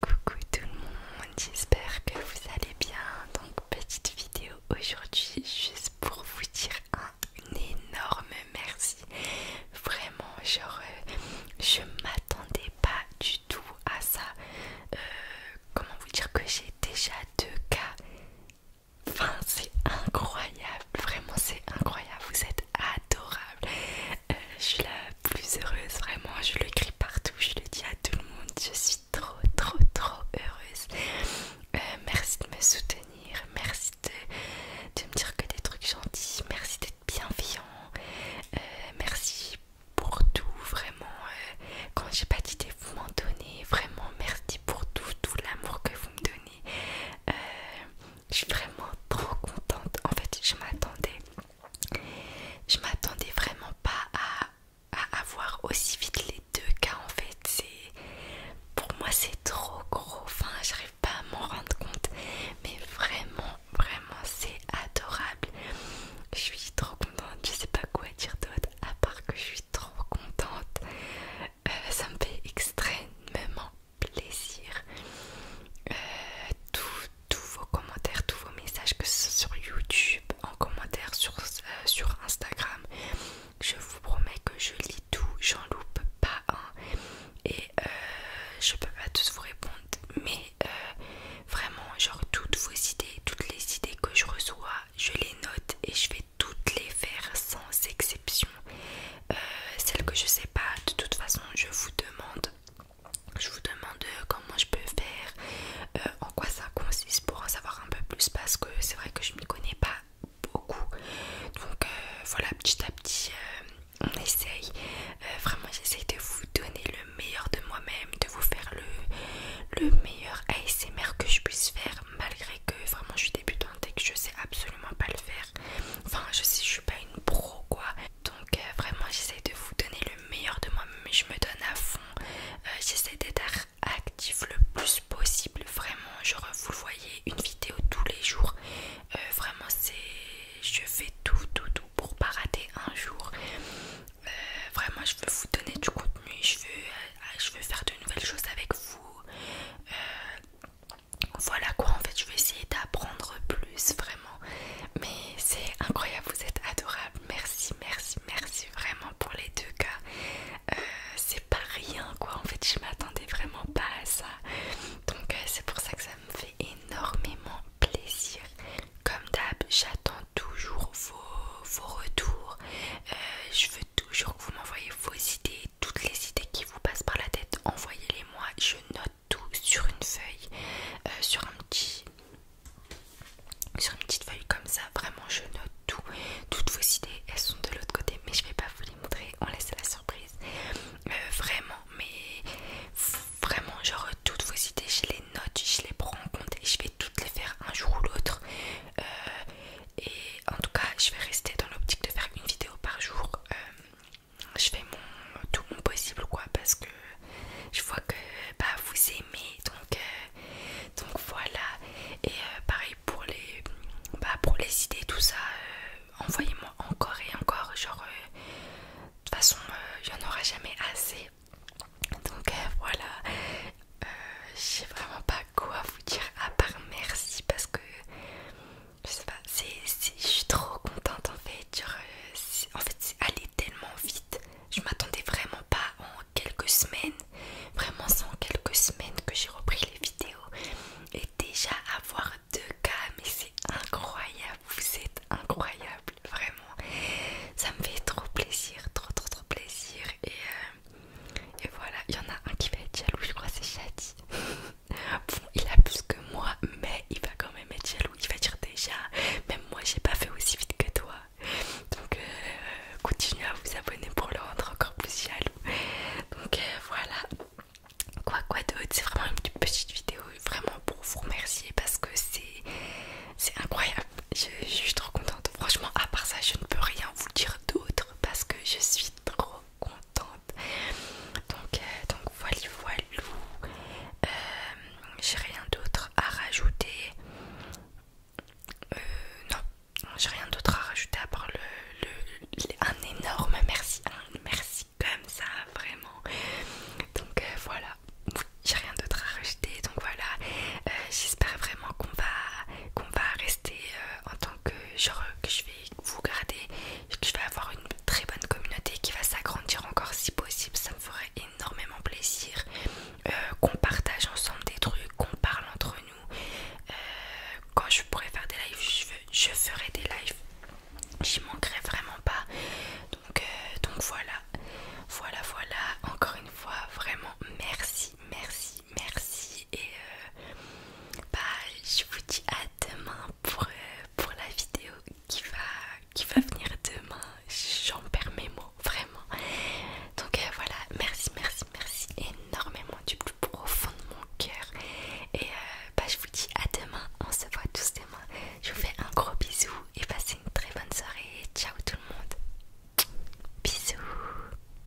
Coucou tout le monde, j'espère que vous allez bien. Donc petite vidéo aujourd'hui juste pour vous dire un énorme merci. Vraiment, genre euh, je m'attendais pas du tout à ça. Euh, comment vous dire que j'ai déjà deux cas. Enfin c'est incroyable, vraiment c'est incroyable, vous êtes adorables. Euh, je suis la plus heureuse, vraiment. Je le crie partout, je le dis à tout le monde. Je suis trop, trop, trop heureuse. Euh, merci de me soutenir, merci de, me dire que des trucs gentils, merci d'être bienveillant, euh, merci pour tout, vraiment. quand j'ai pas d'idée, vous m'en donnez, vraiment merci pour tout, tout l'amour que vous me donnez. je suis vraiment trop contente. En fait, je m'attendais je m'attendais vraiment pas à, avoir aussi vite les deux cas en fait. C'est pour moi c'est trop gros. Enfin, j'arrive pas à m'en rendre compte. Mais vraiment, vraiment, c'est adorable. Je suis trop contente. Je sais pas quoi dire d'autre à part que je suis trop contente. Euh, ça me fait extrêmement plaisir. Euh, tout, tous vos commentaires, tous vos messages, que ce soit sur YouTube, en commentaire, sur, euh, Instagram. Je vous promets que je lis tout, j'en loupe pas un. Et euh, je peux pas tous vous répondre, mais euh, vraiment, genre toutes vos idées, toutes les idées que je reçois, je les note et je vais toutes les faire sans exception. celles que je sais pas, de toute façon, je vous demande je vous demande euh, comment je peux faire, euh, en quoi ça consiste pour en savoir un peu plus parce que c'est vrai que je m'y connais pas beaucoup. Donc euh, voilà, petit à petit, on essaye. vraiment, j'essaye de vous donner le meilleur de moi-même, de vous faire le, le meilleur ASMR que je puisse faire malgré que vraiment je suis débutante et que je sais absolument pas le faire. Enfin, je sais, je suis pas une pro quoi, donc euh, vraiment j'essaie de vous donner le meilleur de moi mais je me donne à fond, euh, j'essaie d'être actif le plus possible, vraiment, genre vous le voyez, une vidéo tous les jours, euh, vraiment c'est, je fais tout, tout, tout pour pas rater un jour, vraiment je veux vous donner du contenu, je veux, je veux faire de nouvelles choses avec vous, voilà quoi, en fait, je vais essayer d'apprendre plus vraiment. Mais c'est incroyable, vous êtes adorable. Merci, merci, merci vraiment pour les deux cas. Euh, c'est pas rien quoi, en fait, je m'attendais vraiment pas à ça. Donc, euh, c'est pour ça que ça me fait énormément plaisir. Comme d'hab, j'attends toujours vos, retours. Euh, je veux toujours que vous m'envoyez vos idées, toutes les idées qui vous passent par la tête, envoyez-les moi. Je note tout sur une feuille, euh, sur un petit sur une petite feuille comme ça, vraiment je note tout, toutes vos idées, elles sont de l'autre côté, mais je vais pas vous les montrer, on laisse la surprise. Euh, vraiment, mais vraiment, genre toutes vos idées, je les note, je les prends en compte et je vais toutes les faire un jour ou l'autre. Euh, et en tout cas, je vais rester dans l'optique de faire une vidéo par jour je fais tout mon possible quoi parce que je vois que bah, vous aimez donc euh, donc voilà et euh, pareil pour les bah, pour les idées tout ça euh, envoyez-moi encore et encore genre de toute façon j'en aura jamais assez donc voilà j'ai vraiment pas quoi vous dire à part merci parce que je sais pas, je suis trop contente en fait. Euh, en fait, c'est allé tellement vite. Je m'attendais vraiment pas en quelques semaines. Vraiment, c'est en quelques semaines que j'ai repris les vidéos. Et déjà, avoir deux cas, mais c'est incroyable. Vous êtes incroyable, vraiment. Ça me fait trop plaisir, trop, trop, trop plaisir. Et, euh, et voilà, il y en a un qui va être jaloux, je crois, c'est Shadi. Bon, il a plus que moi, mais il va quand même être jaloux. Il va dire déjà, même moi j'ai pas fait aussi vite que toi. Donc euh, continuez à vous abonner pour le rendre encore plus jaloux. Donc euh, voilà. Quoi quoi d'autre, c'est vraiment une petite vidéo vraiment pour vous remercier parce que c'est incroyable. je suis trop contente. Franchement, à part ça, je ne peux rien vous dire d'autre parce que je suis trop contente. Euh, donc, voilà, voilà. Euh, j'ai rien d'autre à rajouter. Euh, non, j'ai rien d'autre à rajouter à part le, un énorme merci. merci comme ça, vraiment. Donc voilà, j'ai rien d'autre à rajouter. Donc voilà, j'espère vraiment qu'on va, qu'on va rester en tant que genre que je vais vous gardez je vais avoir une très bonne communauté qui va s'agrandir encore si possible. Ça me ferait énormément plaisir euh, qu'on partage ensemble des trucs, qu'on parle entre nous. Euh, quand je pourrais faire des lives, je, je ferai des lives. J'y manquerai vraiment pas. Donc, euh, donc voilà, voilà, voilà. Encore une fois, vraiment merci, merci, merci et euh, bah, je vous dis à demain pour, euh, pour la vidéo qui va, qui va venir demain. J'en perds mes mots, vraiment. Donc euh, voilà, merci, merci, merci énormément du plus profond de mon cœur. Et bah, je vous dis à demain, on se voit tous demain. Je vous fais un gros bisou et passez une très bonne soirée. Ciao tout le monde. Bisous.